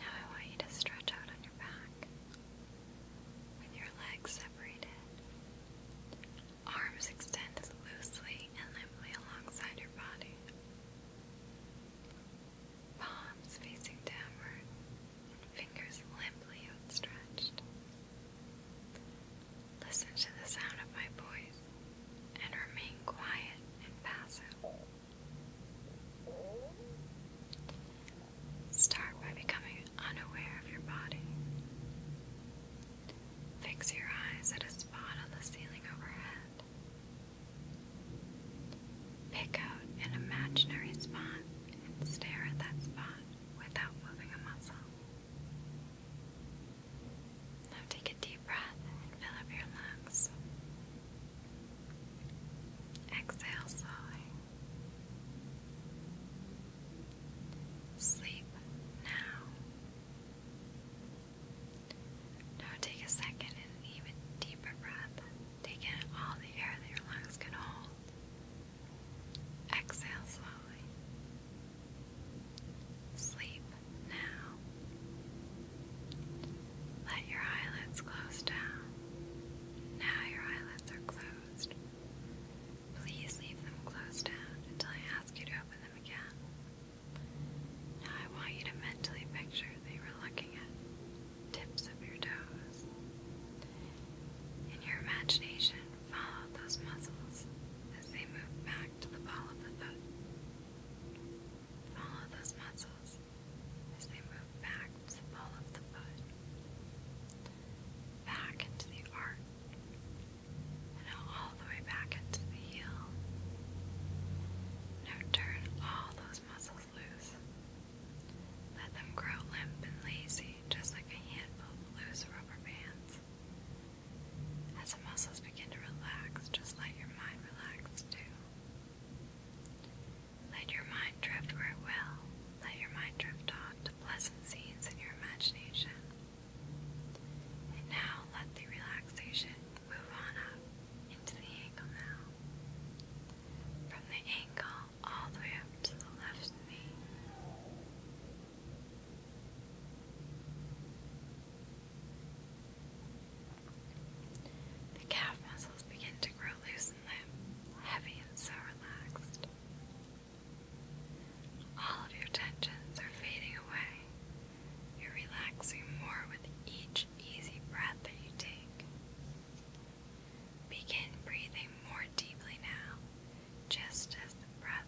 Now I want you to stretch out on your back with your legs separated, arms extended loosely and limply alongside your body, palms facing downward, fingers limply outstretched. Listen to the sound of my voice and remain quiet and passive. Start by becoming unaware of your body. Fix your eyes at a spot on the ceiling overhead. Pick out an imaginary spot and stare at that spot without moving a muscle. Now take a deep breath and fill up your lungs. Exhale slowly. Sleep now. Now take a second and an even deeper breath. Take in all the air that your lungs can hold. Exhale slowly. Sleep now. Let your eyelids close down. Now your eyelids are closed. Please leave them closed down until I ask you to open them again. Now I want you to mentally picture that you were looking at tips of your toes. In your imagination, follow those muscles as they move back to the ball of the foot. Follow those muscles as they move back to the ball of the foot, back into the arch, and all the way back into the heel. Now turn all those muscles loose. Let them grow limp and lazy, just like a handful of loose rubber bands. As the muscles begin to relax, just let your mind relax too. Let your mind drift where it will. Let your mind drift off to pleasant scenes in your imagination. And now let the relaxation move on up into the ankle now. From the ankle all the way up to the left knee. The calf muscles begin to grow loose Heavy and so relaxed. All of your tensions are fading away. You're relaxing more with each easy breath that you take. Begin breathing more deeply now, just as the breath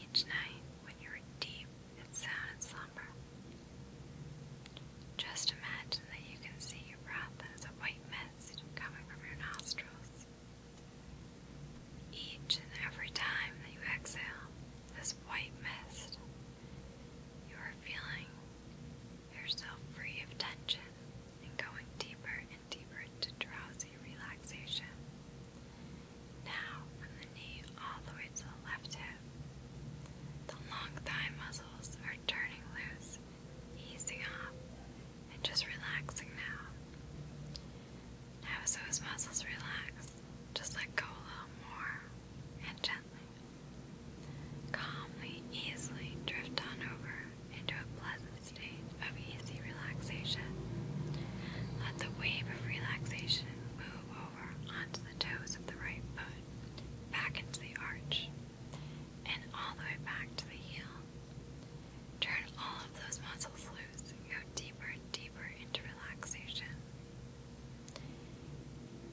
each night when you were deep and sound in slumber. Just imagine that you can see your breath as a white mist coming from your nostrils. Each and every time that you exhale this white mist, you are feeling yourself free of tension and going deeper and deeper into drowsy relaxation. Now, from the knee all the way to the left hip, the long thigh muscles are turning loose easing up and just relaxing now. Now, so his muscles relax, just let go a little more and gently. Calmly, easily drift on over into a pleasant state of easy relaxation. Let the wave of relaxation move over onto the toes of the right foot, back into the arch and all the way back to the heel. Turn all of those muscles loose. Go deeper and deeper into relaxation.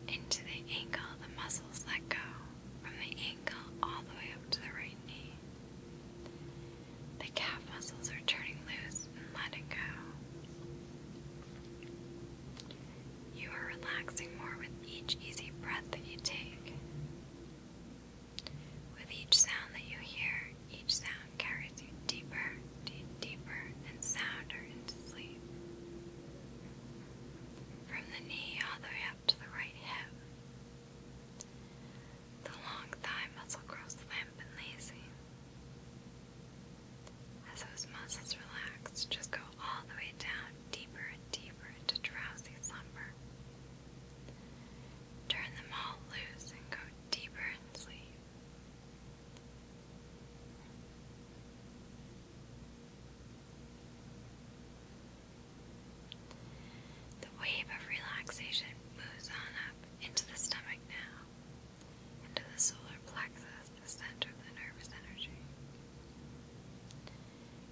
Into the ankle, the muscles let go from the ankle all the way up to the right knee. The calf muscles are turning loose and letting go. You are relaxing more with each easy breath that you take. With each sound that you hear, each sound carries you deeper, deeper, and sounder into sleep. From the knee all the way up to the right hip. The long thigh muscle grows limp and lazy. As those muscles relax, just go all the way down deeper and deeper into drowsy slumber. Turn them all loose and go deeper in sleep. The wave of relaxation moves on up into the stomach now, into the solar plexus, the center of the nervous energy.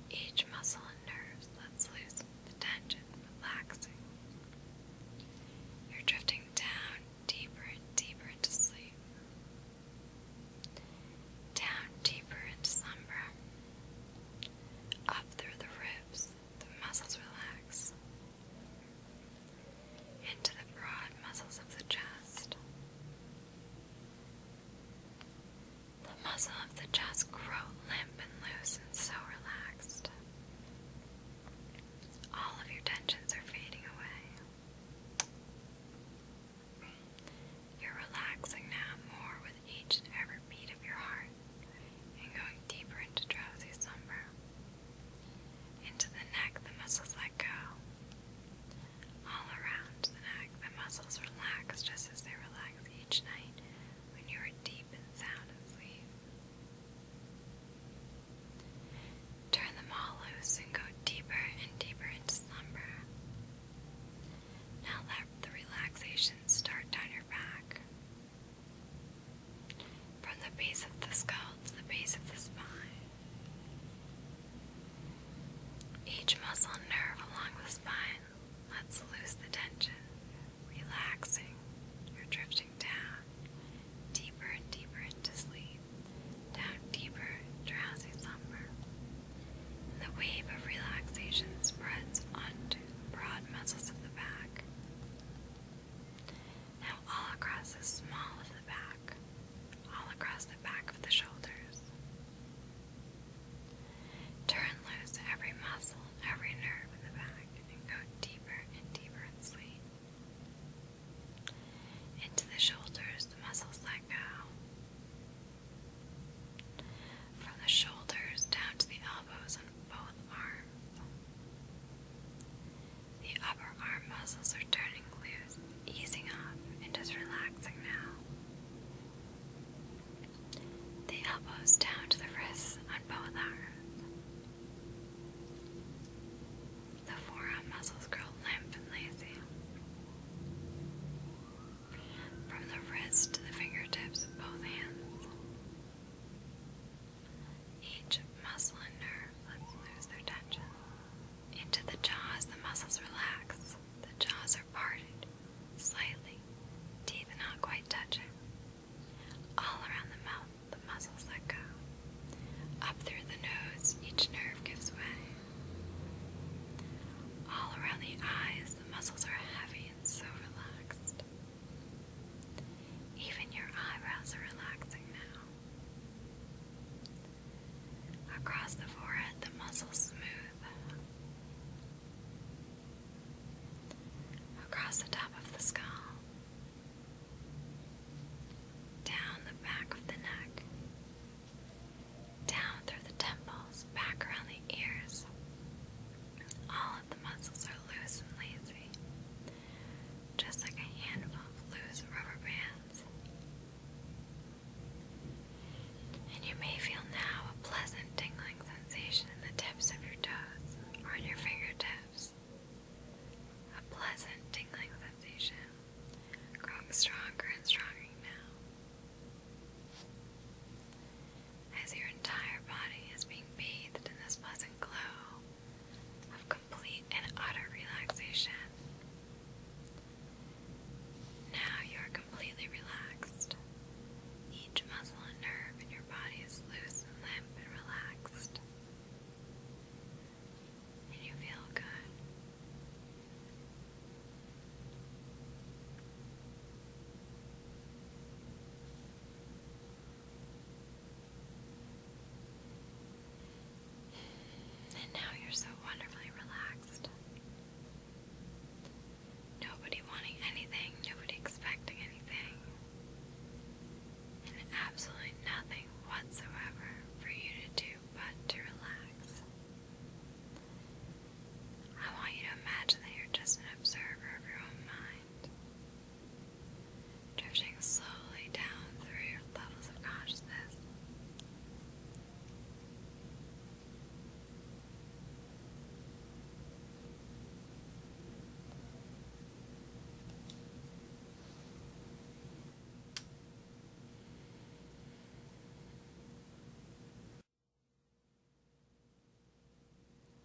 Each muscle and nerve lets loose the tension, relaxing. You're drifting down deeper and deeper into sleep, down deeper into slumber, up through the ribs, the muscles relax, into the broad muscles of the chest. The muscle of the chest grow limp and loose and so relaxed. All of your tensions are fading away. You're relaxing now more with each and beat of your heart and going deeper into drowsy slumber. Into the neck, the muscles let go. All around the neck, the muscles relax just as they relax each night when you are deep and sound asleep. Turn them all loose and go deeper and deeper into slumber. Now let the relaxation start down your back. From the base of the skull to the base of the spine. Each muscle nerve along the spine Let's loose the tension, relaxing. You're drifting down, deeper and deeper into sleep, down deeper, drowsy slumber. And the wave of relaxation spreads onto the broad muscles of the back. Now, all across the small of the back, all across the back of the shoulders, Turn loose every muscle and every nerve in the back and go deeper and deeper and deeper Into the shoulders, the muscles let go. From the shoulders down to the elbows on both arms. The upper arm muscles are turning loose, easing up, and just relaxing now the elbows down to the wrists on both arms. The forearm muscles grow limp and lazy. From the wrist to the fingertips of both hands. Each muscle and nerve lets loose their tension. Into the jaws, the muscles relax. The jaws are parted slightly, teeth not quite touching. All around the mouth, the muscles let go. Up through the nose, each nerve gives way. All around the eyes, the muscles are heavy and so relaxed. Even your eyebrows are relaxing now. Across the forehead, the muscles smooth across the top of the skull, down the back of the neck, down through the temples, back around the ears. All of the muscles are loose and lazy, just like a handful of loose rubber bands and you may feel now a pleasant tingling sensation in the tips of your toes or in your fingertips. A pleasant tingling sensation, growing stronger and stronger now. As your entire body is being bathed in this pleasant glow of complete and utter relaxation. Now you are completely relaxed. Each muscle and nerve in your body is loose and limp and relaxed. And you feel good. And now you're so wonderfully relaxed. Nobody wanting anything, nobody expecting anything, and absolutely nothing whatsoever for you to do but to relax. I want you to imagine that you're just an observer of your own mind, drifting slowly down through your levels of consciousness.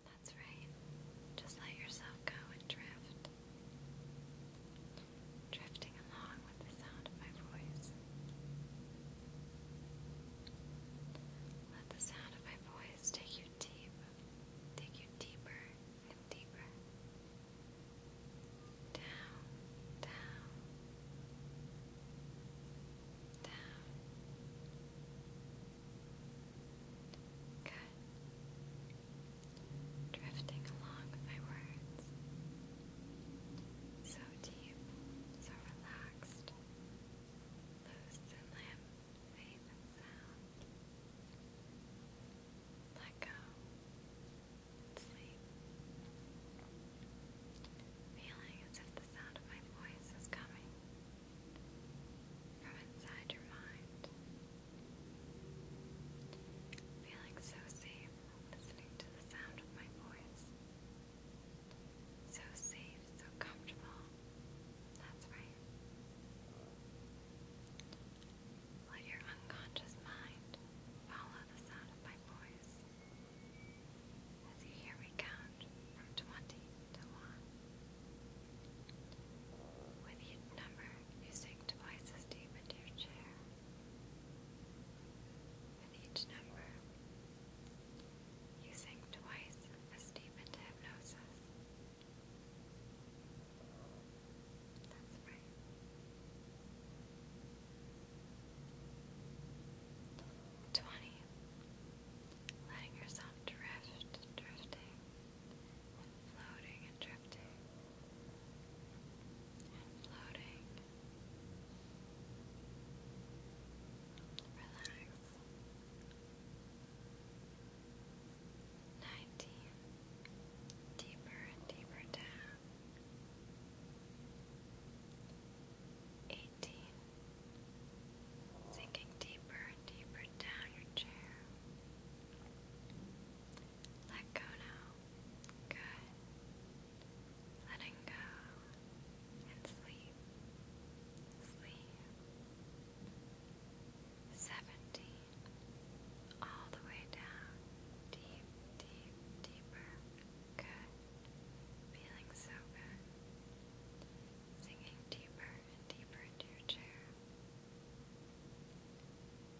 That's right. Just let yourself go and drift. Drifting along with the sound of my voice. Let the sound of my voice take you deep, take you deeper and deeper. Down, down, down. Good. Drifting along with my words. So deep, so relaxed loose and limp, safe and sound. Let go sleep. Feeling as if the sound of my voice is coming from inside your mind. Feeling so safe listening to the sound of my voice. So safe, so comfortable. That's right. Let your unconscious mind follow the sound of my voice. As you hear me count from 20 to 1. With each number, you sink twice as deep into your chair. With each number, you think twice as deep into hypnosis. That's right. Twenty. Letting yourself drift, drifting, and floating and drifting, and floating. Relax. Nineteen. Deeper and deeper down. Eighteen. Sinking deeper and deeper down your chair. Let go now. Good. Letting go and sleep, sleep. Seventeen, all the way down, deep, deep, deeper. Good, feeling so good. Sinking deeper and deeper into your chair.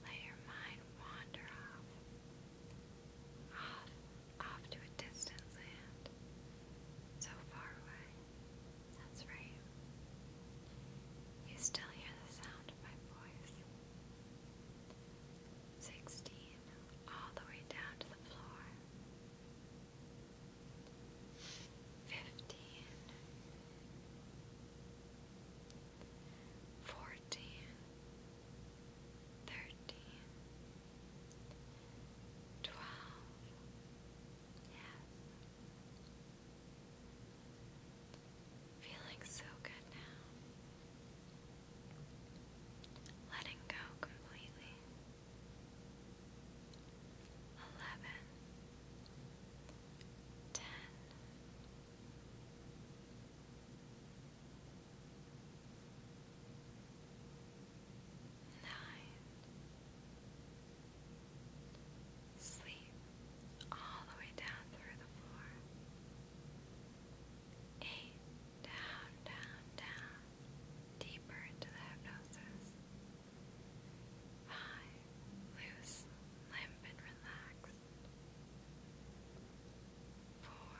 Let your mind wander off, off, off to a distant land, so far away. That's right. You still hear the sound of my voice. Sixteen, all the way down to the floor. Fifteen twelve, yes. Feeling so good now. Letting go completely. Eleven, ten. Nine, nine. Sleep all the way down through the floor. Eight, down, down, down, deeper into the hypnosis. Five, loose, limp, and relaxed. Four,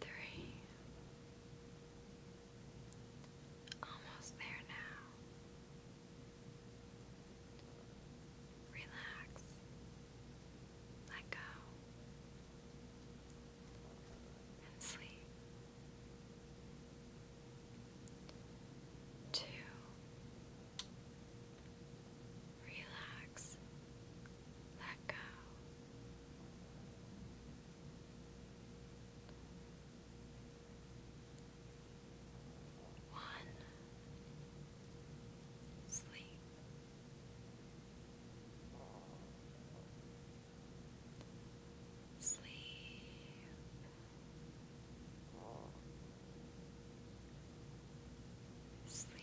three. Almost there now. Relax. Let go. And sleep. Two. Relax. Let go. One, sleep. Sleep. Sleep.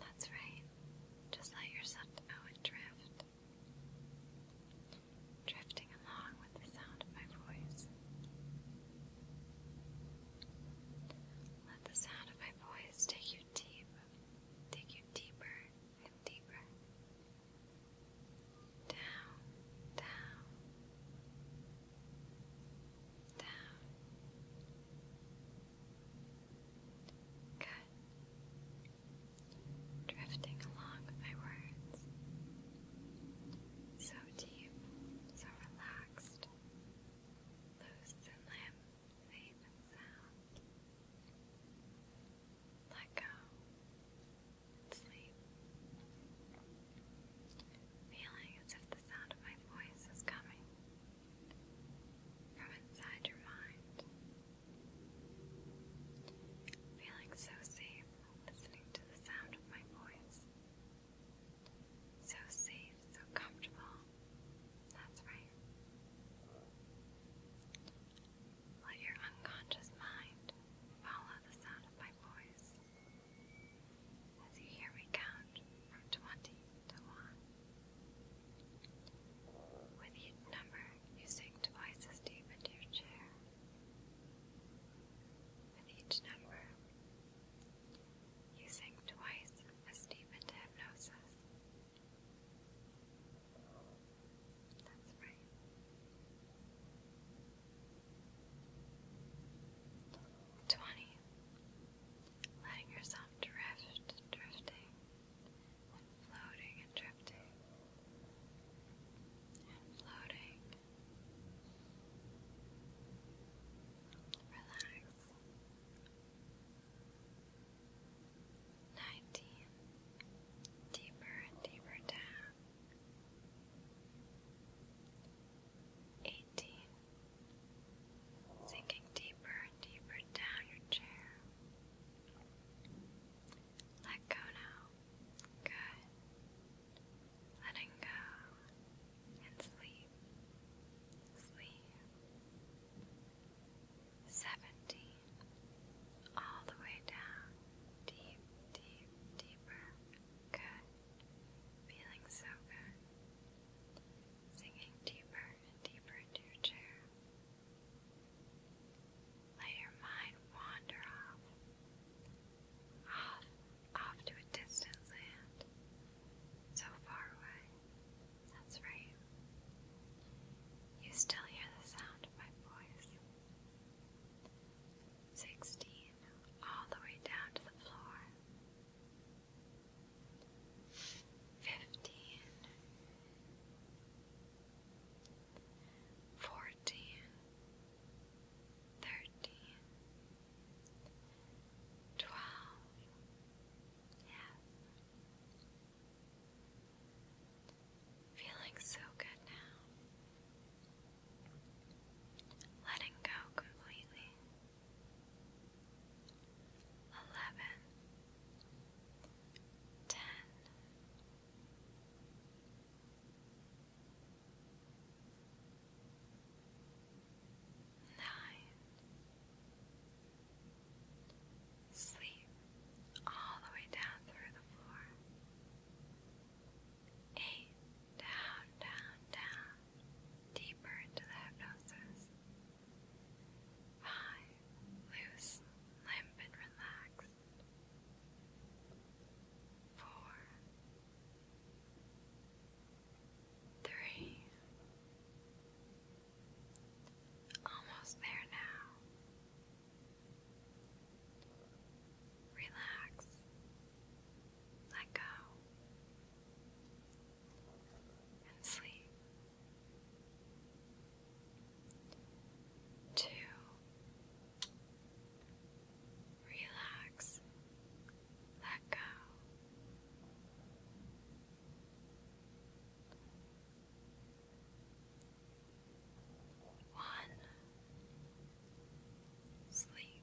That's right. Just let yourself go and drift. Drifting along with the sound of my voice. Let the sound of my voice take you deep, take you deeper and deeper. Down, down, down. Good. Drifting along with my words. So deep, so relaxed. Loose and limb, safe and sound. Let go sleep feeling as if the sound of my voice is coming from inside your mind. Feeling so safe listening to the sound of my voice. So safe, so comfortable. That's right. Let your unconscious mind follow the sound of my voice. As you hear me count from 20 to 1. With each number, you sink twice as deep into your chair. With each number, you sink twice as deep into hypnosis. That's right. 20. Letting yourself drift, drifting, and floating and drifting, and floating. Relax. 19. Deeper and deeper down. 18 sinking deeper and deeper down your chair. Let go now. Good. Letting go and sleep. Sleep. Seventeen. All the way down. Deep, deep, deeper Good. Feeling so good. Sinking deeper and deeper into your chair. Let your mind wander off. Off, off to a distant land. So far away. That's right. You still hear the sound of my voice. Sixteen, all the way down to the floor fifteen, fourteen, thirteen, twelve, yes. Feeling so good now letting go completely. Eleven, ten, nine. Sleep all the way down through the floor. Eight, down, down, down deeper into the hypnosis. 5. Loose, limp, and relaxed. 4. 3. Almost there now. Relax. Let go sleep. Two, relax, let go. One, sleep.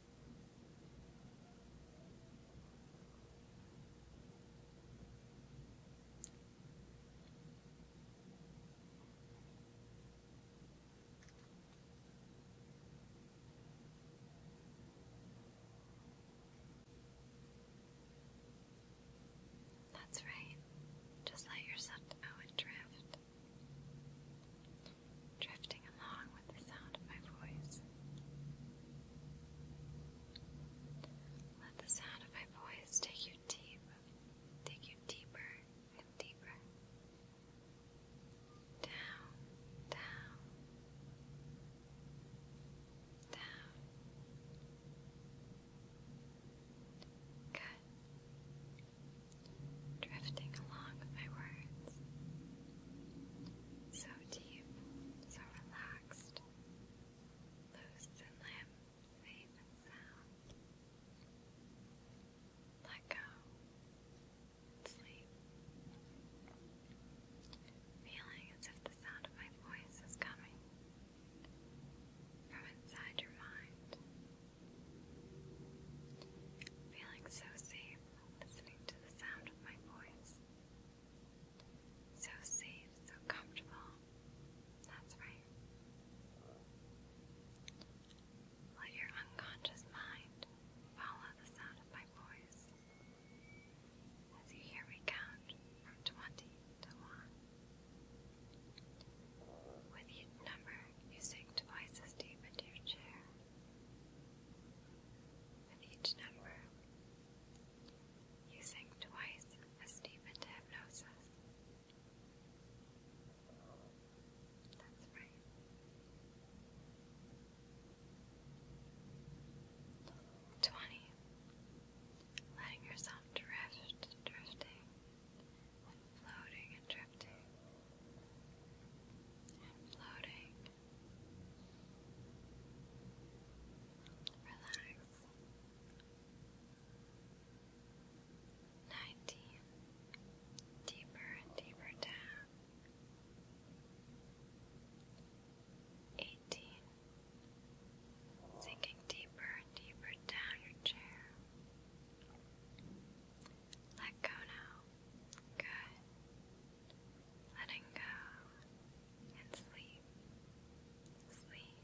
That's right. Just let yourself go and drift drifting along with the sound of my voice. Let the sound of my voice take you deep, take you deeper and deeper. Down, down, down. Good. Drifting along with my words. So so relaxed, loose and limp, safe and sound. Let go sleep. Feeling as if the sound of my voice is coming from inside your mind. Feeling so safe listening to the sound of my voice. So safe, so comfortable. That's right. Let your unconscious mind follow the sound of my voice as you hear me count from 20 to 1. With each number, you sink twice as deep into your chair. With each number, you sink twice as deep into hypnosis. That's right. Twenty. Letting yourself drift, drifting, and floating and drifting, and floating Relax. Nineteen. Deeper and deeper down. Eighteen. Sinking deeper and deeper down your chair. Let go now. Good. Letting go and sleep. Sleep.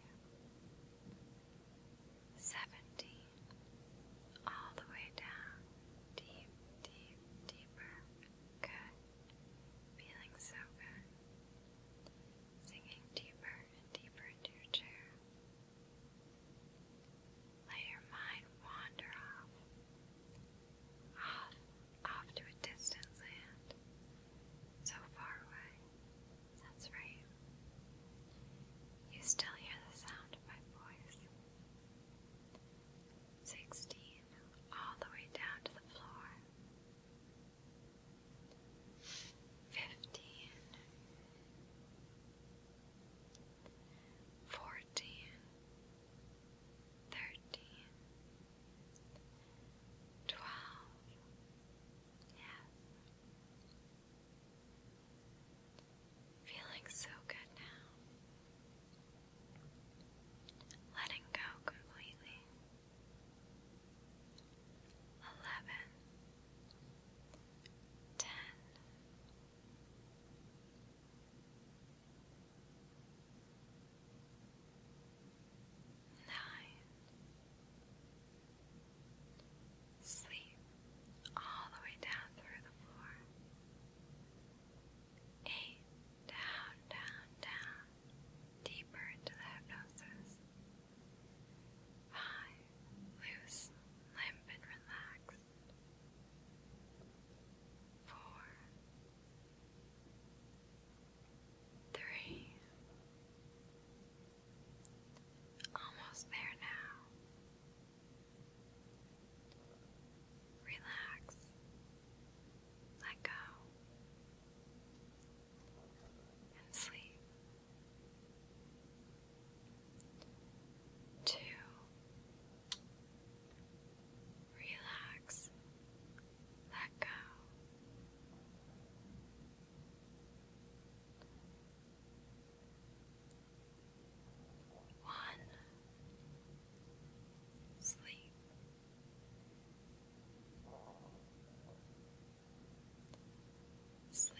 Seventy. All the way down. Deep, deep, deeper. Good. Feeling so good. Sinking deeper and deeper into your chair. Let your mind wander off off, off to a distant land, so far away. That's right. You still hear the sound of my voice. Sixteen, all the way down to the floor. Fifteen thirteen, twelve, yes. Feeling so good now. Letting go completely. Eleven, ten, nine. Sleep all the way down through the floor. Eight, down, down, down, deeper into the hypnosis. Five, loose, limp, and relaxed. Four, Three. Almost there now. Relax. Let go. And sleep. Two. Relax. Let go. One. Sleep. Sleep. Sleep.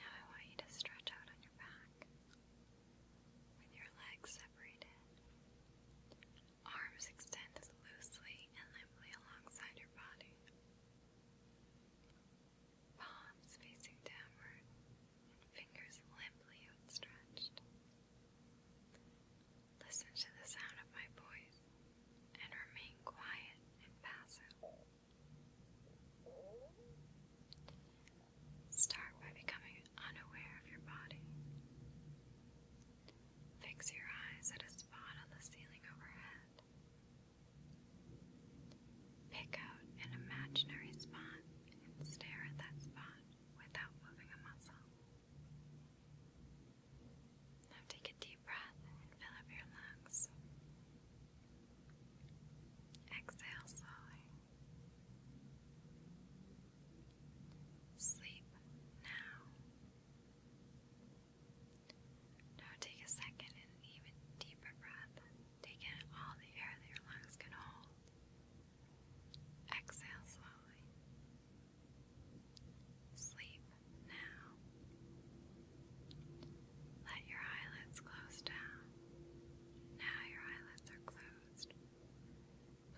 Now I want you to stretch out on your back with your legs separated. Arms extended loosely and limply alongside your body. Palms facing downward fingers limply outstretched. Listen to the sound of my voice and remain quiet and passive. Start by becoming unaware of your body. Fix your eyes at a spot on the ceiling overhead. Pick out an imaginary spot and stare at that spot without moving a muscle. Now take a deep breath and fill up your lungs. Exhale slowly. Sleep now. Now take a second and even deeper breath. Take in all the air that your lungs can hold. Exhale slowly. Sleep now. Let your eyelids close down. Now your eyelids are closed.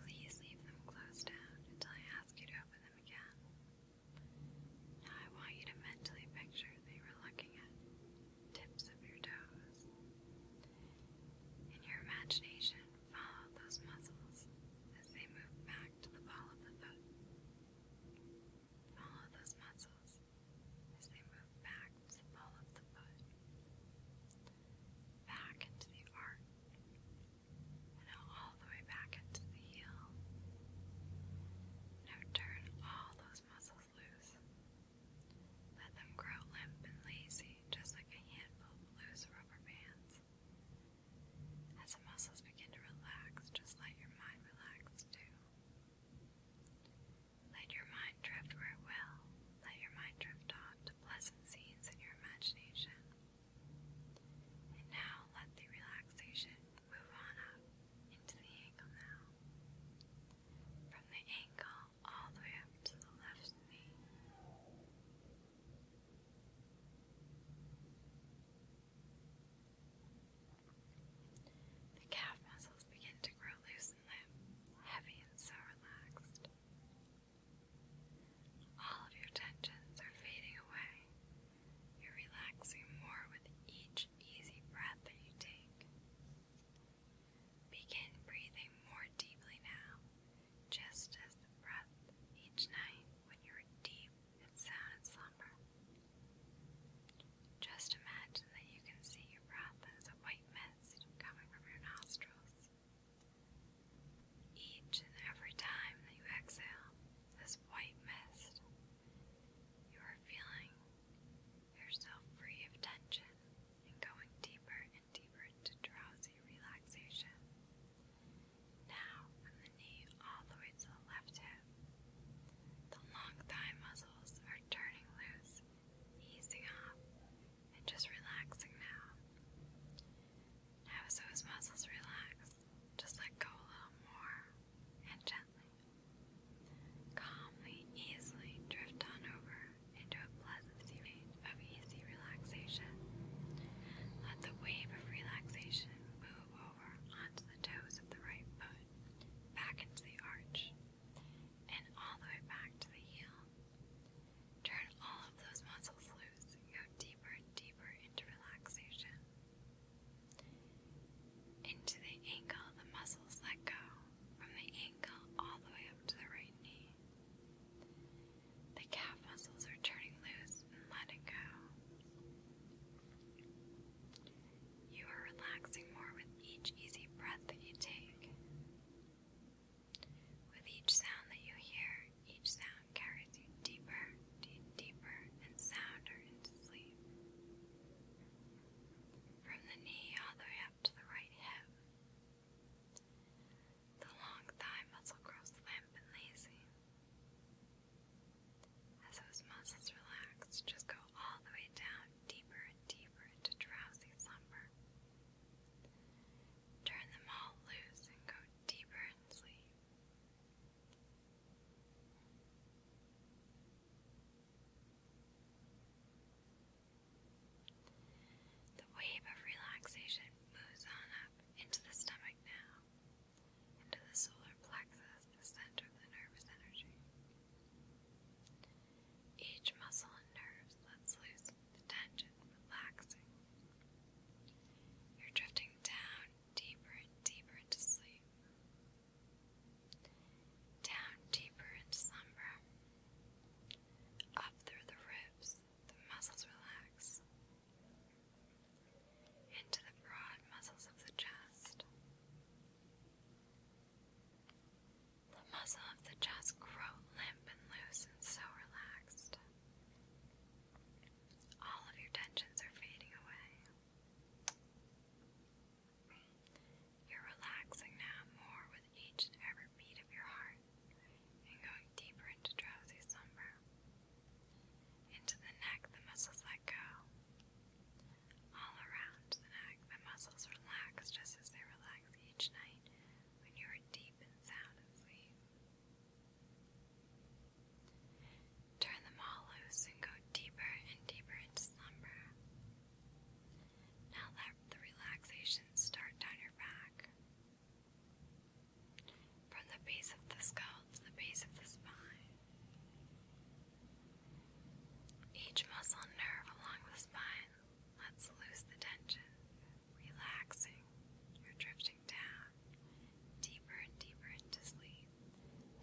Please leave them closed down until I ask you to open them again. Now I want you to mentally picture that were looking at tips of your toes. In your imagination, follow those muscles as they move back to the ball of the foot. Follow those muscles as they move back to the ball the foot, back into the arch, and now all the way back into the heel. Now turn all those muscles loose. Let them grow limp and lazy, just like a handful of loose rubber bands. As the muscles begin to relax, just let your mind relax too. Let your mind drift where it will. Let your mind drift off to pleasant scenes in your imagination. And now let the relaxation move on up into the ankle now. From the ankle all the way up to the left knee. The calf muscles begin to grow loose and limp, heavy and so relaxed. All of your tensions are fading away. You're relaxing more with each easy breath that you take. Begin breathing more deeply now, just as the breath each night when you are deep and sound slumber. Just imagine that you can see your breath as a white mist coming from your nostrils. Each and every time that you exhale this white mist, you are feeling yourself free of tension and going deeper and deeper into drowsy relaxation now from the knee all the way to the left hip. The long thigh muscles are turning loose, easing off, and just relaxing now. Now, so his muscles relax, just let go a little more and gently. Calmly, easily drift on over into a pleasant state of easy relaxation. Let the wave of relaxation move over onto the toes of the right foot, back into the arch, and all the way back to the heel. Turn all of those muscles loose and go deeper and deeper into relaxation. Into the ankle, the muscles let go from the ankle all the way up to the right knee. The calf muscles are turning loose let it go. You are relaxing more with each easy breath that you take. With each sound that you hear, each sound carries you deeper, deeper, and sounder into sleep. From the knee all the way up to the right hip. The long thigh muscle grows limp and lazy. As those muscles relax, just go all the way down, deeper and deeper into drowsy slumber. Turn them all loose and go deeper in sleep. The wave of relaxation moves on up into the stomach now into the solar plexus, the center of the nervous energy. Each muscle and nerve lets loose the tension, relaxing. You're drifting down deeper and deeper into sleep, down deeper into slumber, up through the ribs, the muscles relax, into the broad muscles of the chest. The muscle of the chest grow limp and loose and so relaxed. All of your tensions are fading away. You're relaxing now more with each and every beat of your heart and going deeper into drowsy slumber. Into the neck, the muscles let go. All around the neck, the muscles relax just as they relax each night when you are deep and sound asleep. Turn them all loose and go deeper and deeper into slumber. Now let the relaxation start down your back from the base of the skull to the base of the spine. Each muscle and nerve along the spine lets loose the tension, relaxing or drifting down, deeper and deeper into sleep,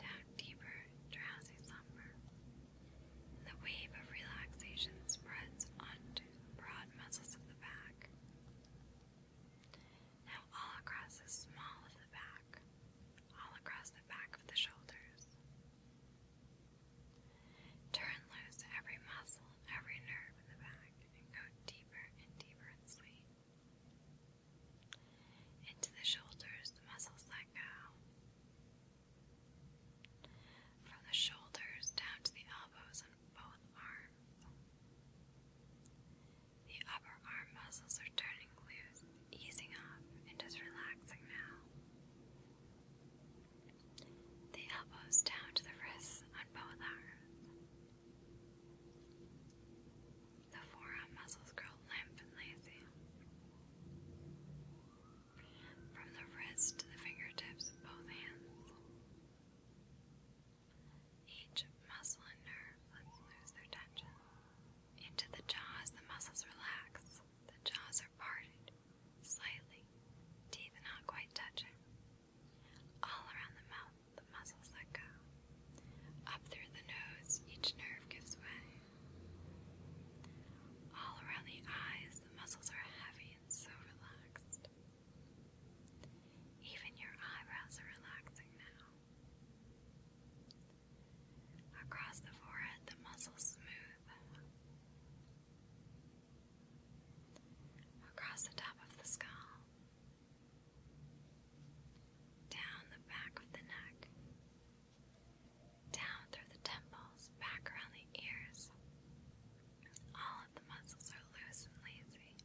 down deeper, drowsy slumber. And the wave of relaxation spreads onto the broad muscles of the back. Now all across the small of the back, all across the back of the shoulders. Turn loose every muscle, every nerve in the back, and go deeper and deeper in sleep. Into the shoulders, the muscles let go. From the shoulders down to the elbows and both arms. The upper arm muscles are turning loose, easing up, and just relaxing now. The elbows down to the wrists on both arms. The forearm muscles grow limp and lazy. From the wrist to the fingertips both hands. Each muscle and nerve lets loose their tension. Into the jaws, the muscles relax. The jaws are parted slightly, teeth not quite touching. All around the mouth, the muscles let go. Up through the nose, each nerve gives way. All around the eyes, the muscles are heavy and so relaxed. Even your eyebrows are relaxing now. Across the forehead, the muscles smooth. Across the top of the skull. Down the back of the neck. Down through the temples, back around the ears. All of the muscles are loose and lazy,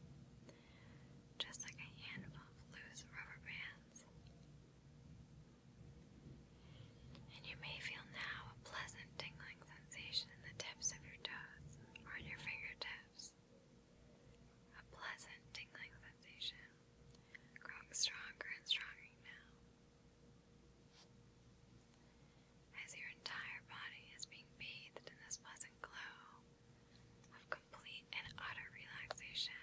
just like a handful of loose rubber bands. And you may feel now a pleasant tingling sensation in the tips of your toes or in your fingertips. A pleasant tingling sensation growing stronger and stronger now. As your entire body is being bathed in this pleasant glow of complete and utter relaxation.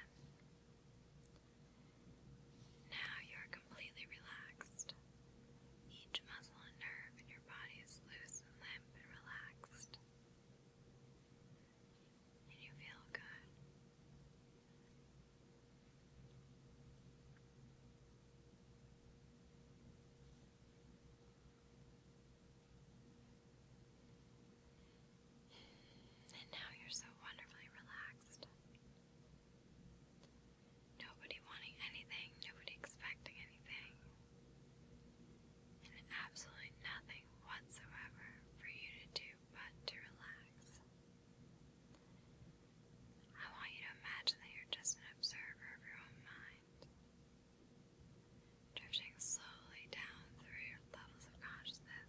Now you are completely relaxed. Each muscle and nerve in your body is loose and limp and relaxed. And you feel good. And now you're so wonderfully relaxed. Nobody wanting anything, nobody expecting anything, and absolutely nothing whatsoever for you to do but to relax. I want you to imagine that you're just an observer of your own mind, drifting slowly down through your levels of consciousness,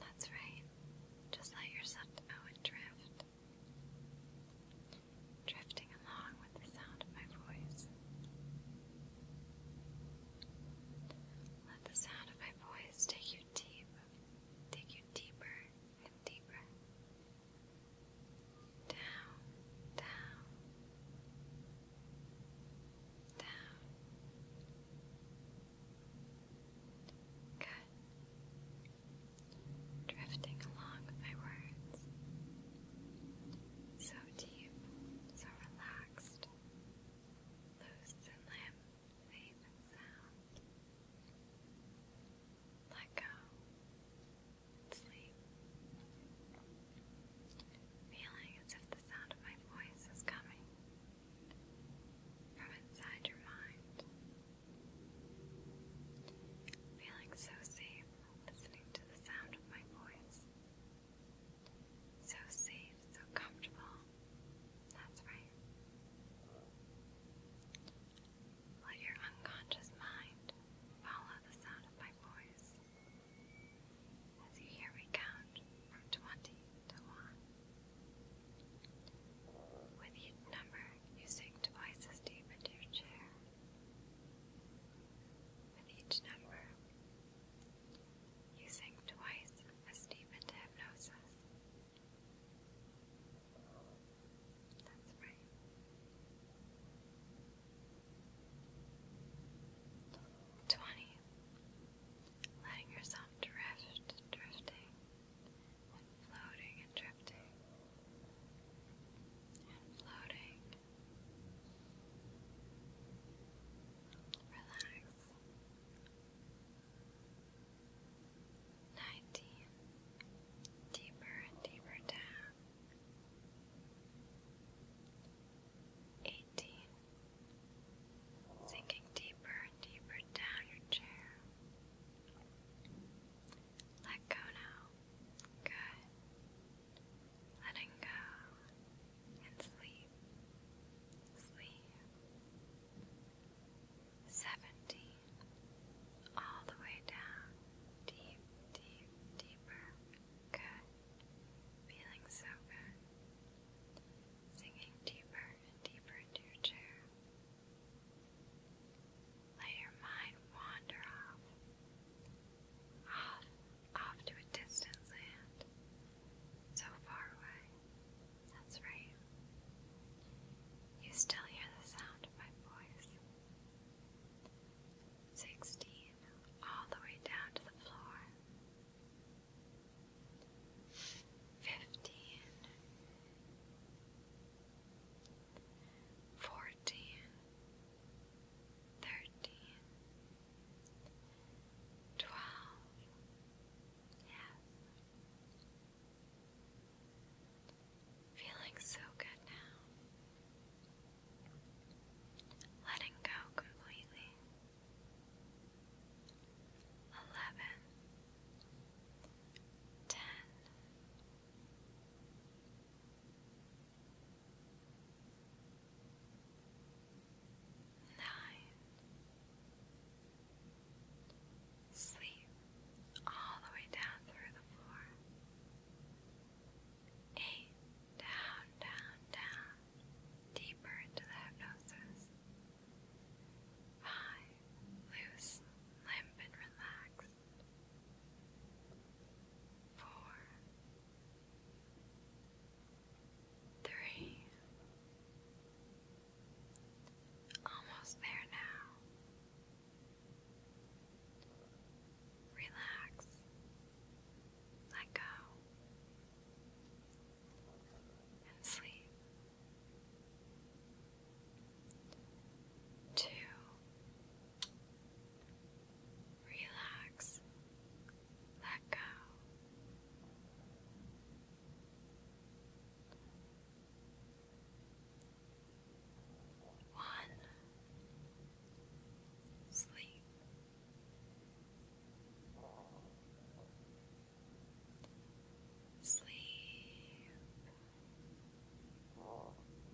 that's right. Just let yourself out and drift drifting along with the sound of my voice. Let the sound of my voice take you deep, take you deeper and deeper. Down, down, down. Good drifting along with my words. So deep, so relaxed, loose and limb, safe and sound. Let go sleep. Feeling as if the sound of my voice is coming from inside your mind. Feeling so safe listening to the sound of my voice. So safe, so comfortable. That's right. Let your unconscious mind follow the sound of my voice. As you hear me count from 20 to 1. With each number, you sink twice as deep into your chair. With each number, you sink twice as deep into hypnosis. That's right. Twenty. Letting yourself drift, drifting, and floating and drifting floating. Relax. Nineteen. Deeper and deeper down. Eighteen. Sinking deeper and deeper down your chair. Let go now. Good letting go and sleep, sleep. Seventeen, all the way down, deep, deep, deeper. Good, feeling so good. Sinking deeper and deeper into your chair. Let your mind wander off, off, off to a distant land, so far away. That's right. You still hear the sound of my voice. Sixteen, all the way down to the floor. Fifteen thirteen, twelve, yes. Feeling so good now. Letting go completely. Eleven, ten, nine. Sleep all the way down through the floor. Eight, down, down, down, deeper into the hypnosis. Five, loose, limp, and relaxed four, three. Almost there now. Relax. Let go. And sleep. Two, Relax. Let go. One. Sleep. Sleep. Sleep.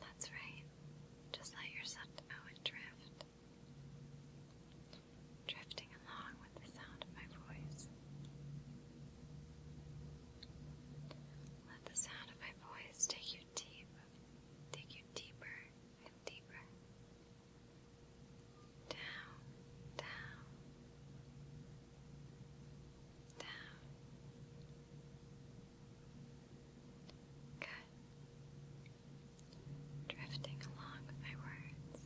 That's right. Just let yourself go and drift. Drifting along with the sound of my voice. Let the sound of my voice take you deep, take you deeper and deeper down, down, down. Good. Drifting along with my words.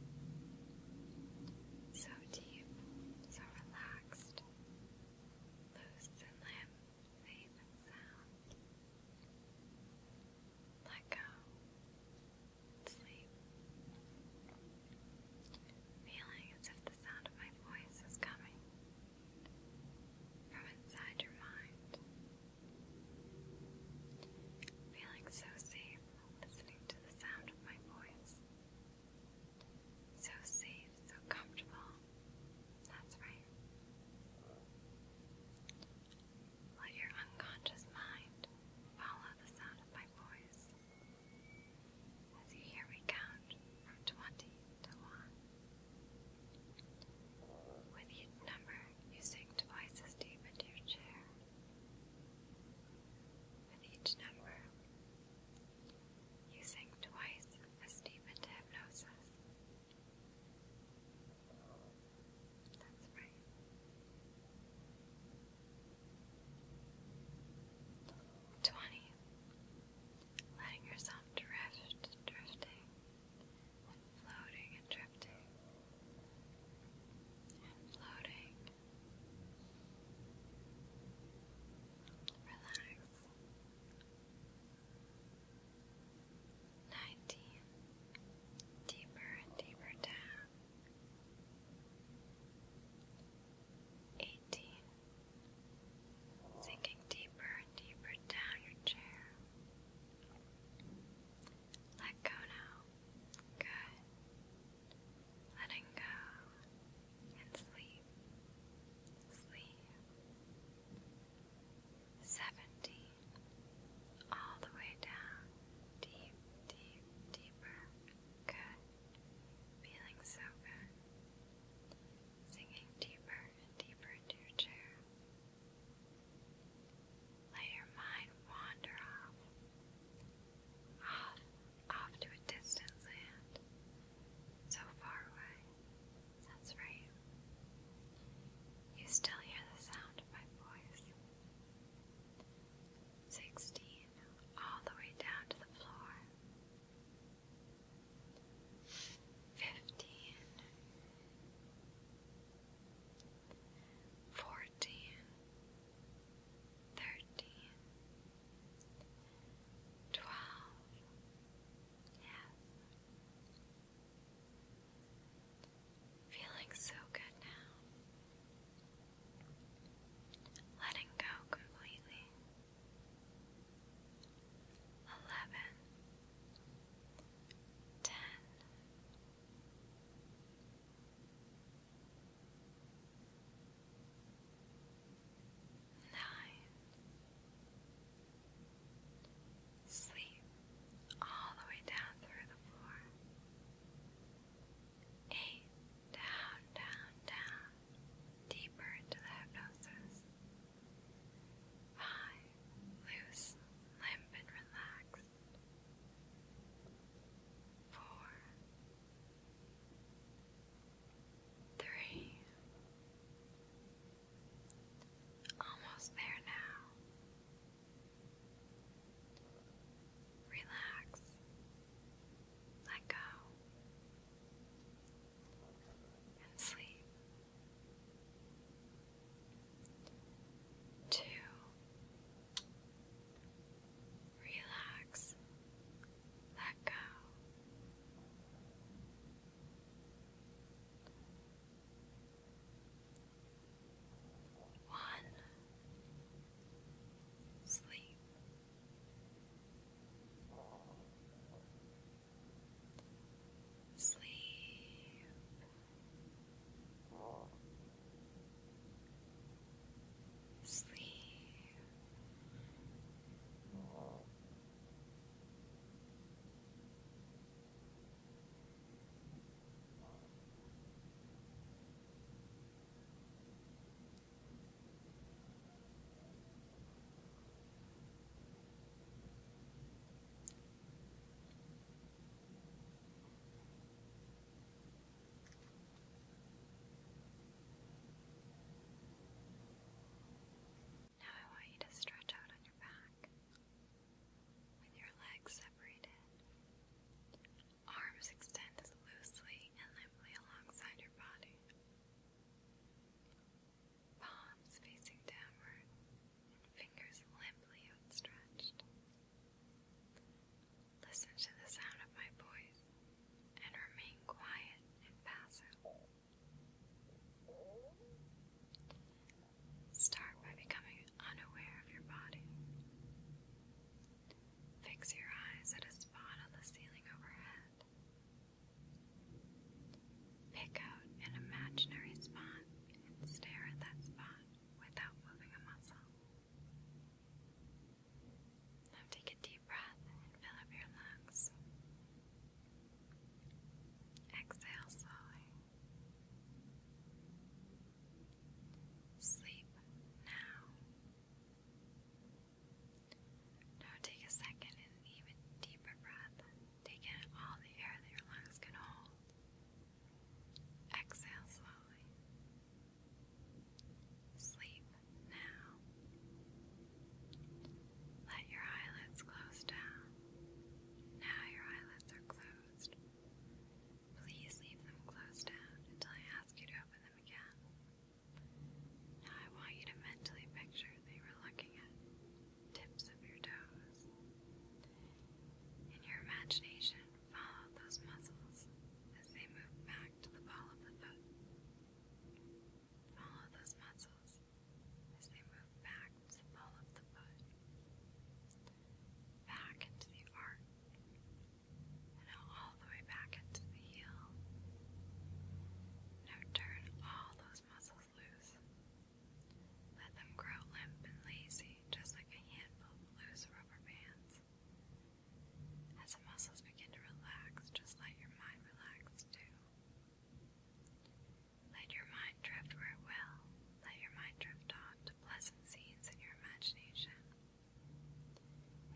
So deep, so relaxed. Loose and limb, safe and sound. Let go. Sleep. Feeling as if the sound of my voice is coming from inside your mind. Feeling so safe listening to the sound of my voice. So safe, so comfortable. That's right. Let your unconscious mind follow the sound of my voice. As you hear me count from 20 to 1. With each number, you sink twice as deep into your chair. With each number, you sink twice as deep into hypnosis. Twenty. Letting yourself drift, drifting, and floating and drifting, and floating. Relax nineteen, deeper and deeper down, eighteen, sinking deeper and deeper down your chair. Let go now. Good. Letting go and sleep. Sleep. Seventy all the way down, deep, deep, deeper. Good. Feeling so good. Sinking deeper and deeper into your chair. Let your mind wander off, off, off to a distant land, so far away. That's right. You still hear the sound of my voice sixteen, all the way down to the floor, fifteen, fourteen, thirteen, twelve, yes. Feeling so good now. Letting go completely. Eleven. Ten. Nine. Sleep all the way down through the floor. Eight, down, down, down, deeper into the hypnosis. Five, loose, limp, and relaxed. Four, three, almost there now. Relax. Let go. And sleep. Two. Relax. Let go. One. Sleep. Sleep. Sleep. Sleep. Now I want you to stretch out on your back with your legs separated. Arms extend loosely and limply alongside your body. Palms facing downward fingers limply outstretched. Listen to the sound of my voice and remain quiet and passive. Start by becoming unaware of your body. Fix your eyes at a spot on the ceiling overhead. Pick out an imaginary spot and stare at that spot without moving a muscle. Now take a deep breath and fill up your lungs. Exhale slowly. Sleep now. Now take a second and even deeper breath. Take in all the air that your lungs can hold. Exhale slowly. Sleep now. Let your eyelids close down. Now your eyelids are closed. Please leave them closed until I ask you to open them again. Now I want you to mentally picture they were looking at tips of your toes. In your imagination, follow those muscles as they move back to the ball of the foot. Follow those muscles as they move back to the ball of the foot. Back into the arc and now all the way back into the heel. Now turn all those muscles loose. Let them grow limp and lazy, just like a handful of loose rubber bands. As the muscles begin to relax, just let your mind relax too. Let your mind drift where it will. Let your mind drift on to pleasant scenes in your imagination.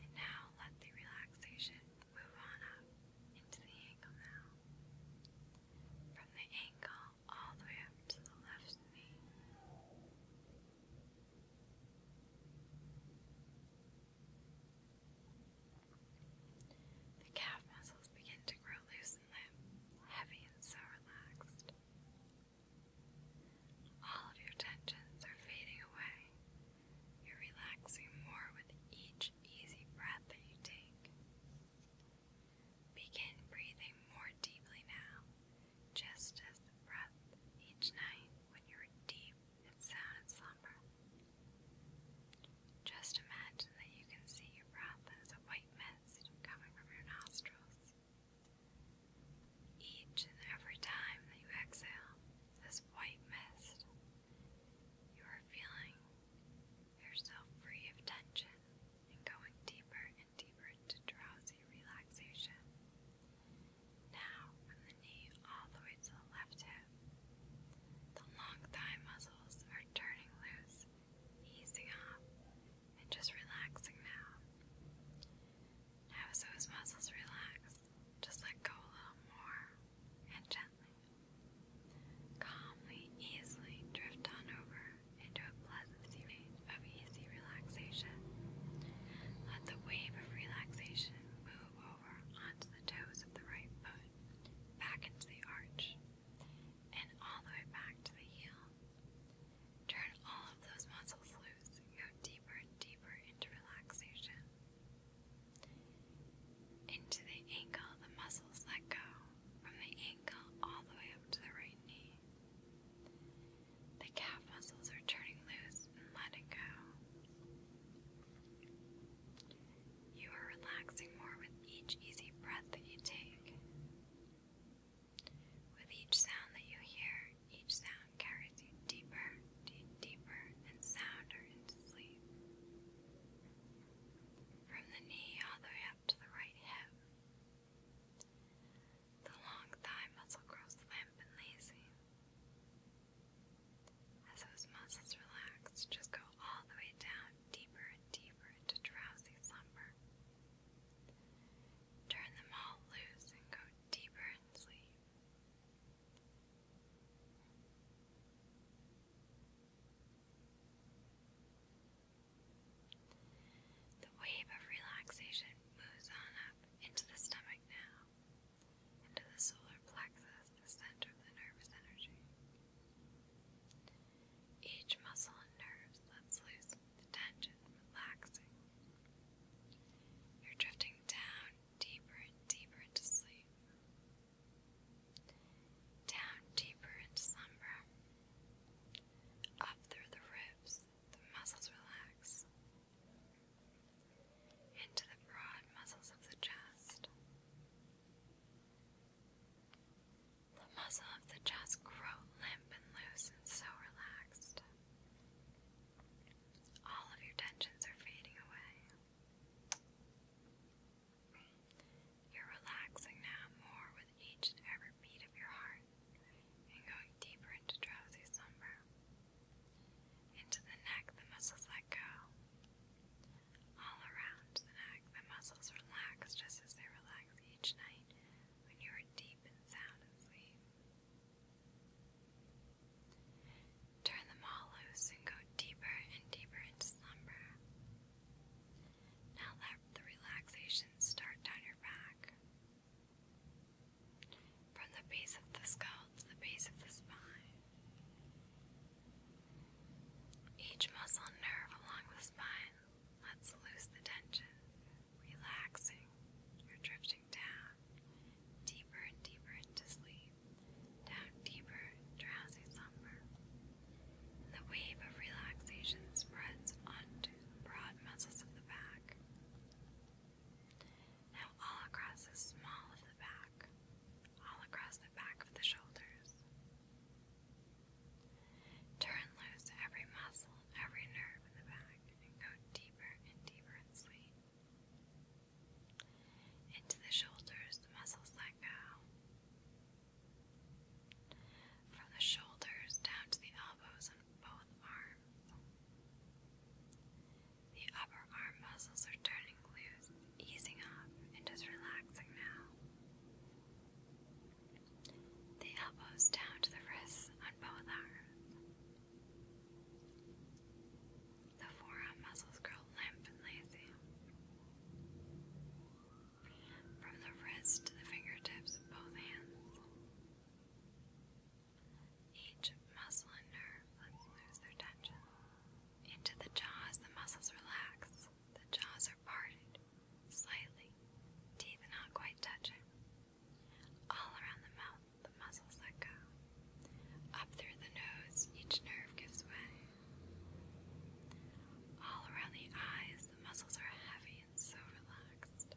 And now let the relaxation move on up into the ankle now. From the ankle all the way up to the left knee. The calf muscles begin to grow loose and limp, heavy and so relaxed. All of your tensions are fading away. You're relaxing more with each easy breath that you take. Begin breathing more deeply now, just as the breath each night when you are deep in sound and slumber. Just imagine that you can see your breath as a white mist coming from your nostrils. Each and every time that you exhale this white mist, you are feeling yourself free of tension and going deeper and deeper into drowsy relaxation. Now, from the knee all the way to the left hip, the long thigh muscles are turning loose, easing up and just relaxing now. Now, so his muscles relax, just let go a little more and gently. Calmly, easily drift on over into a pleasant state of easy relaxation. Let the wave of relaxation move over onto the toes of the right foot, back into the arch, and all the way back to the heel. Turn all of those muscles loose. Go deeper and deeper into relaxation. Into the ankle, the muscles let go. From the ankle all the way up to the right knee. The calf muscles are turning loose and letting go. You are relaxing more with each easy breath that you take. With each sound that you hear, each sound carries you deeper, deeper, and sounder into sleep. From the knee all the way up to the right hip, the long thigh muscle grows limp and lazy. As those muscles relax, just go all the way down, deeper and deeper into drowsy slumber. Turn them all loose and go deeper in sleep. The wave of relaxation moves on up into the stomach now, into the solar plexus, the center of the nervous energy. Each muscle and nerve lets loose the tension relaxing. You're drifting down deeper and deeper into sleep, down deeper into slumber. Up through the ribs, the muscles relax, into the broad muscles of the chest. The muscle of the chest grow limp and loose and so relaxed. All of your tensions are fading away. You're relaxing now more with each and every beat of your heart and going deeper into drowsy slumber. Into the neck, the muscles let go. All around the neck, the muscles relax just as they relax each night when you are deep and sound asleep. Turn them all loose and go deeper and deeper into slumber. Now let the relaxation start down your back. From the base of the skull to the base of the spine. Each muscle nerve along the spine lets loose the tension, relaxing your drifting drifting down, deeper and deeper into sleep, down deeper, drowsy slumber. The wave of relaxation spreads onto the broad muscles of the back. Now all across the small of the back, all across the back of the shoulders. Turn loose every muscle, every nerve in the back, and go deeper and deeper into the shoulders, the muscles let go. From the shoulders down to the elbows on both arms. The upper arm muscles are turning loose, easing up, and just relaxing now. The elbows down to the wrists on both arms. The forearm muscles grow limp and lazy. From the wrist to the fingertips of both hands. Each muscle and nerve lets loose their tension. Into the jaws, the muscles relax. The jaws are parted slightly, teeth not quite touching. All around the mouth, the muscles let go. Up through the nose, each nerve gives way. All around the eyes, the muscles are heavy and so relaxed.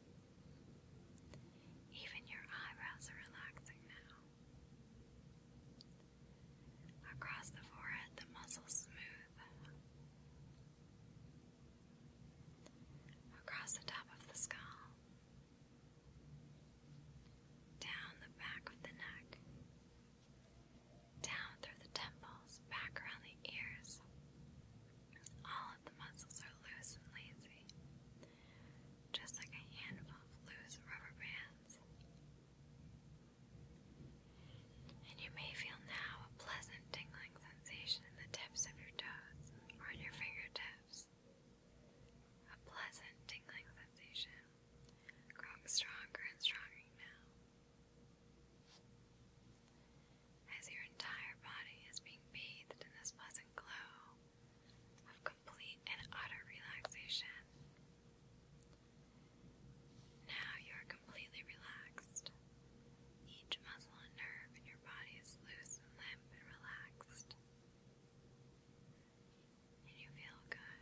Even your eyebrows are relaxing now. Across the forehead, the muscles smooth. Across the top of the skull, down the back of the neck, down through the temples, back around the ears. All of the muscles are loose and lazy, just like a handful of loose rubber bands. And you may feel now a pleasant tingling sensation in the tips of your toes or on your fingertips. A pleasant tingling sensation, growing stronger and stronger now. As your entire body is being bathed in this pleasant glow of complete and utter relaxation, now you are completely relaxed. Each muscle and nerve in your body is loose limp and relaxed you feel good.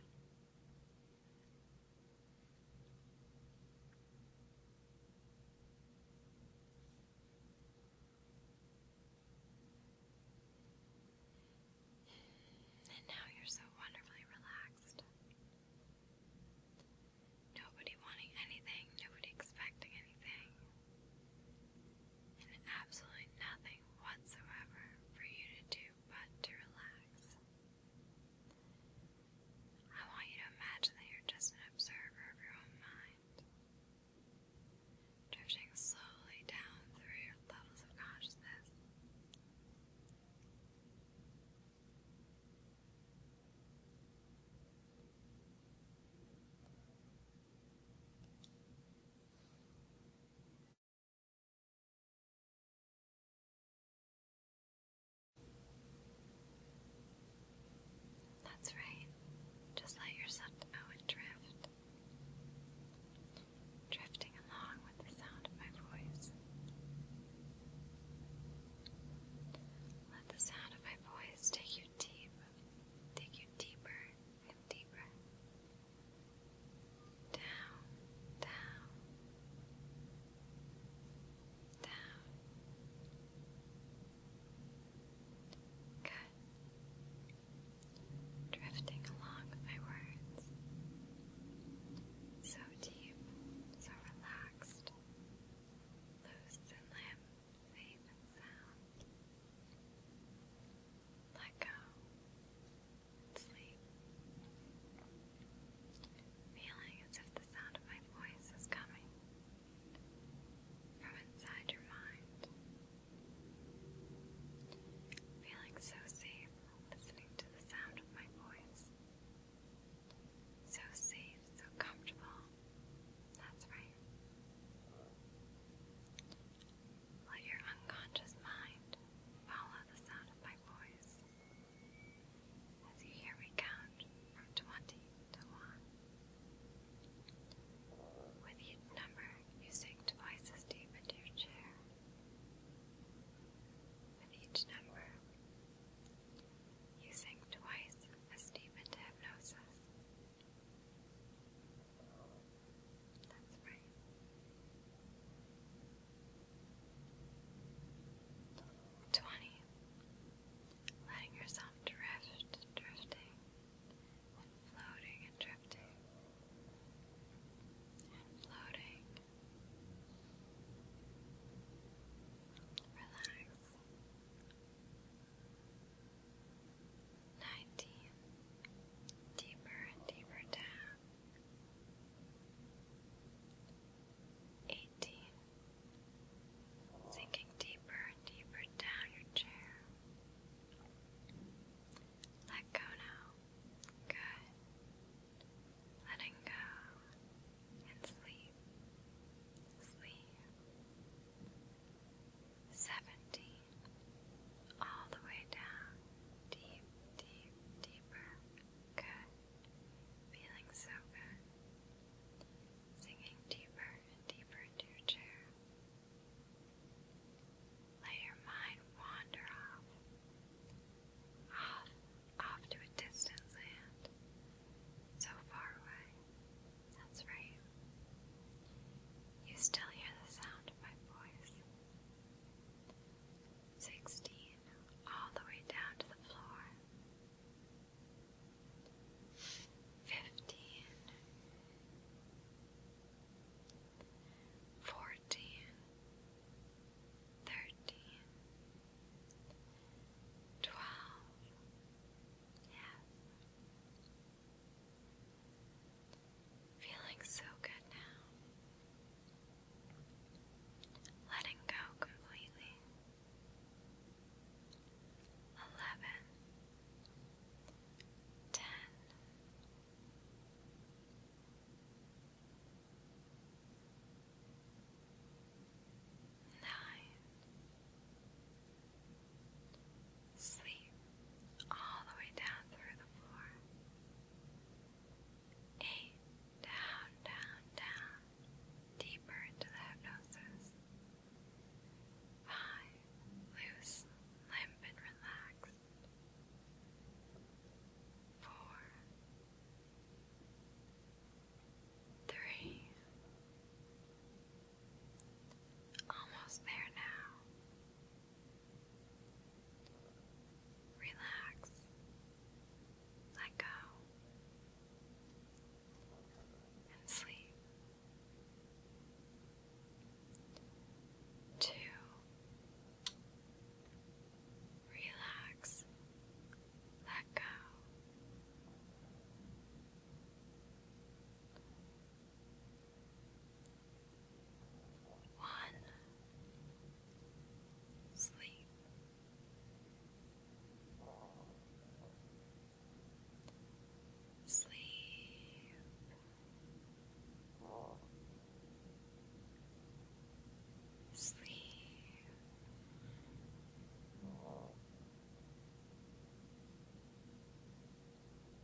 And now you're so wonderfully relaxed. Nobody wanting anything, nobody expecting anything absolutely nothing whatsoever for you to do but to relax. I want you to imagine that you're just an observer of your own mind, drifting slowly down through your levels of consciousness. That's right. Just let yourself go and drift. Drifting along with the sound of my voice. Let the sound of my voice take you deep, take you deeper and deeper. Down, down, down. Good. Drifting along my words. So deep, so relaxed, loose and limp favorite sound. Let go sleep. Feeling as if the sound of my voice is coming from inside your mind. Feeling so safe listening to the sound of my voice. So safe, so comfortable. That's right. Let your unconscious mind follow the sound of my voice as you hear me count from 20 to 1. With each number, you sink twice as deep into your chair. With each number, you sink twice as deep into hypnosis. That's Twenty. Letting yourself drift, drifting, and floating and drifting, and floating. Relax nineteen, deeper and deeper down, eighteen, sinking deeper and deeper down your chair. Let go now. Good. Letting go and sleep. Sleep seventeen, all the way down, deep, deep, deeper. Good. Feeling so good. Sinking deeper and deeper into your chair. Let your mind wander off, off, off to a distant land, so far away. That's right. You still hear the sound of my voice. Sixteen, all the way down to the floor. Fifteen. Yes. Feeling so good now. Letting go completely. Eleven. Ten. Nine sleep all the way down through the floor. Eight, down, down, down, deeper into the hypnosis. Five, loose, limp, and relaxed. Four, three, almost there now. Relax. Let go. And sleep. Two. Relax. Let go. One, sleep. Sleep. Sleep. Sleep.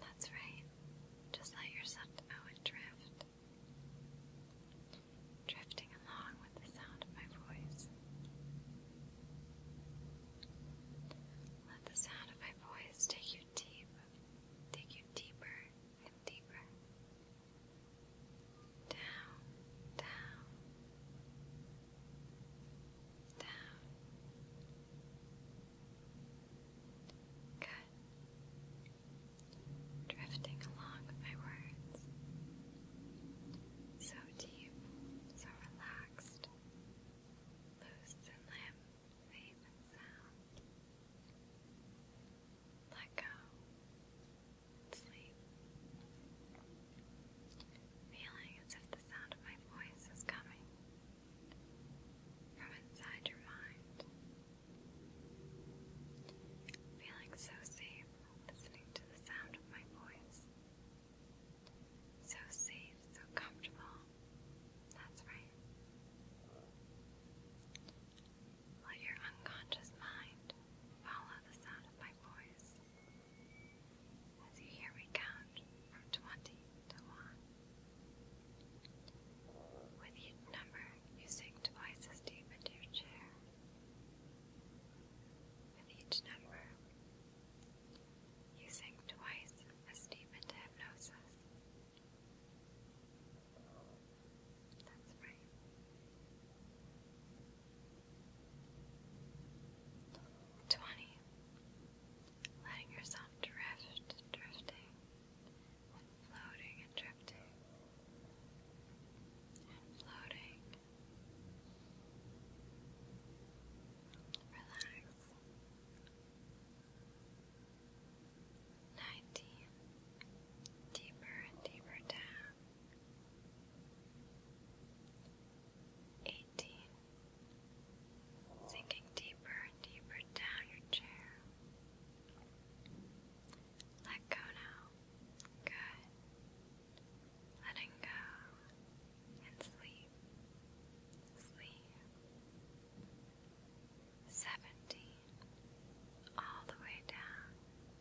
That's right. Just let yourself know and drift. Drifting along with the sound of my voice. Let the sound of my voice take you deep, take you deeper and deeper. Down, down, down, Good. Drifting along with my words. So deep, so relaxed. Loose and limb, safe sound. Let go. Sleep. Feeling as if the sound of my voice is coming from inside your mind. Feeling so safe listening to the sound of my voice. So safe, so comfortable. That's right. Let your unconscious mind follow the sound of my voice as you hear me count from 20 to 1. With each number, you sink twice as deep into your chair. With each number, you sink twice as deep into hypnosis. That's right. Twenty. Letting yourself drift, drifting floating and drifting, floating. Relax. Nineteen. Deeper and deeper down. Eighteen. Sinking deeper and deeper down your chair. Let go now. Good. Letting go and sleep. Sleep. Seventeen. All the way down.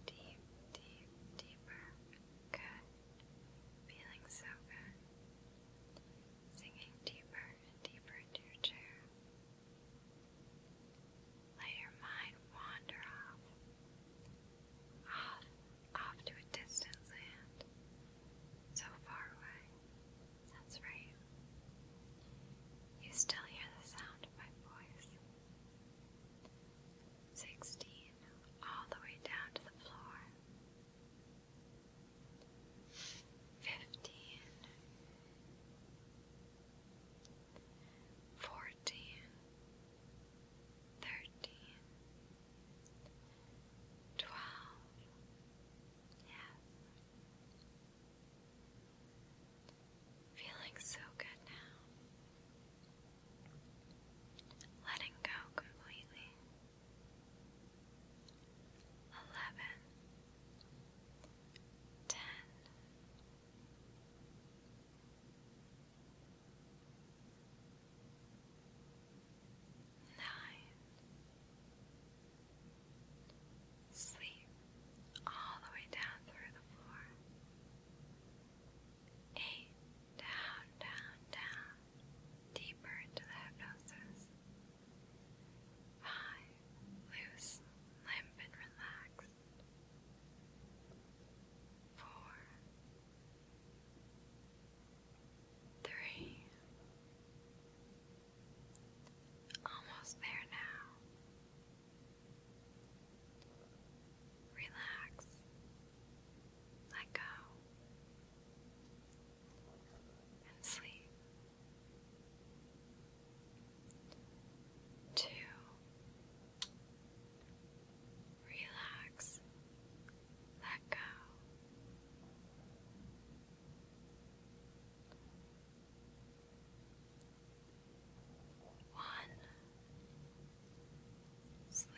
Deep, deep, deeper. Good. Feeling so good. Sinking deeper deeper into your chair. Let your mind wander off, off, off to a distant land, so far away. That's right. You still hear the sound of my voice. Sixteen, all the way down to the floor fifteen, fourteen, thirteen, twelve, yes. Feeling so good now. Letting go completely. Eleven, ten. Sleep all the way down through the floor. Eight. Down, down, down. Deeper into the hypnosis five, loose, limp, and relaxed, four, three, almost there now. Relax, let go, and sleep. Two. relax, let go. One, sleep.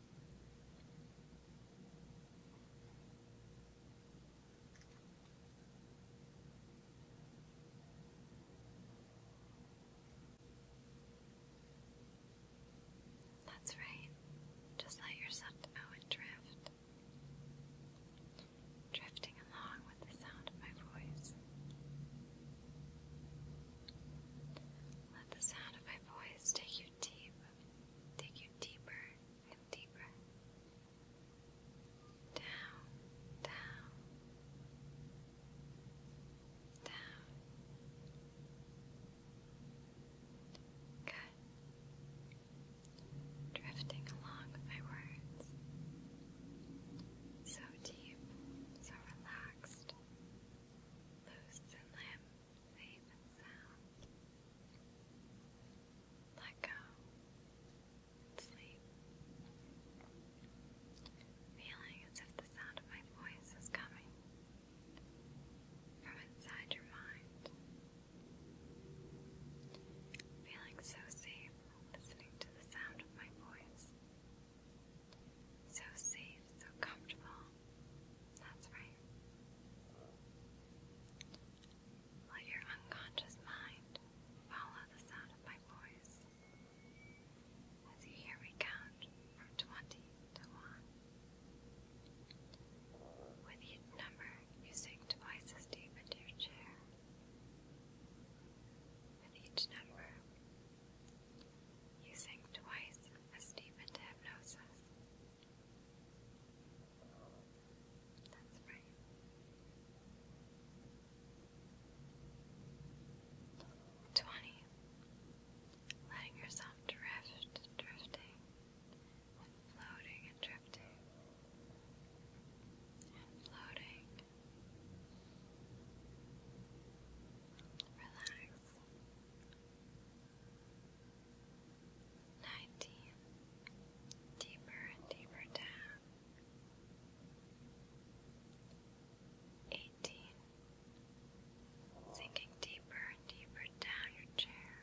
That's right. Just let yourself go and drift. Drifting along with the sound of my voice. Let the sound of my voice take you take you deeper and deeper down, down, down. Good. Drifting along with my words. So deep, so relaxed. Loose and limp safe and sound. Let go sleep. Feeling as if the sound of my voice is coming from inside your mind. Feeling so safe listening to the sound of my voice. So safe, so comfortable. That's right. Let your unconscious mind follow the sound of my voice. As you hear me count from 20 to 1. With each number, you sink twice as deep into your chair. With each number, you using twice as deep into hypnosis. That's right. Twenty. Letting yourself drift, drifting, floating and drifting, floating. Relax nineteen, deeper and deeper down, eighteen, sinking deeper and deeper down your chair.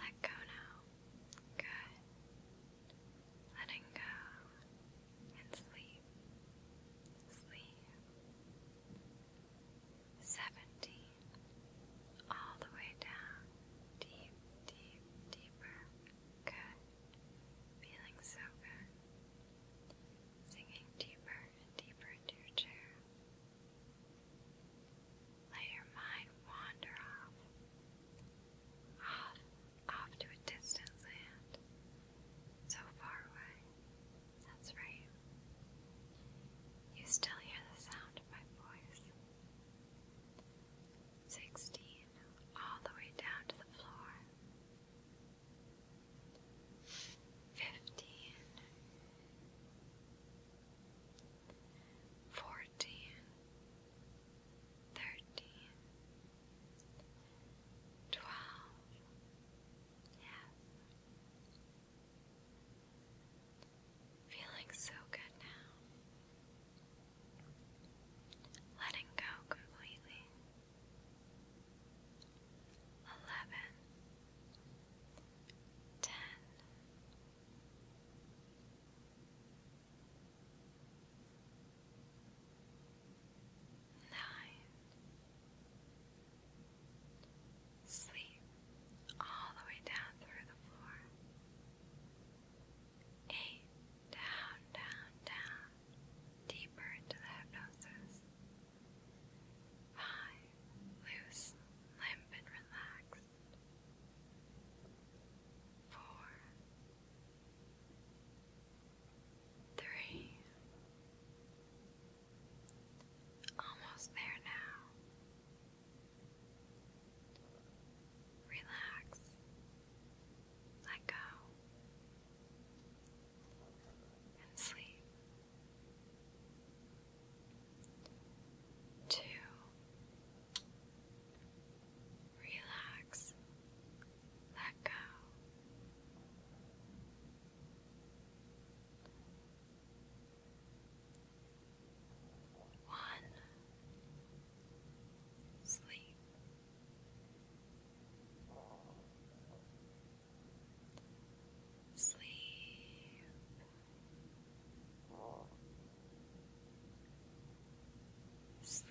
Let go now. Good. Letting go and sleep. Sleep seventeen, all the way down, deep, deep, deeper. Good. Feeling so good. Sinking deeper and deeper into your chair. Let your mind wander off, off, off to a distant land, so far away. That's right. You still hear the sound of my voice. Sixteen, all the way down to the floor. Fifteen. Yes. Feeling so good now. Letting go completely. Eleven. Ten nine. Sleep all the way down through the floor. Eight, down, down, down, deeper into the hypnosis. Five, loose, limp, and relaxed. Four, three, Almost there now. Relax. Let go. And sleep. Two. Relax. Let go. One sleep. Sleep. Sleep.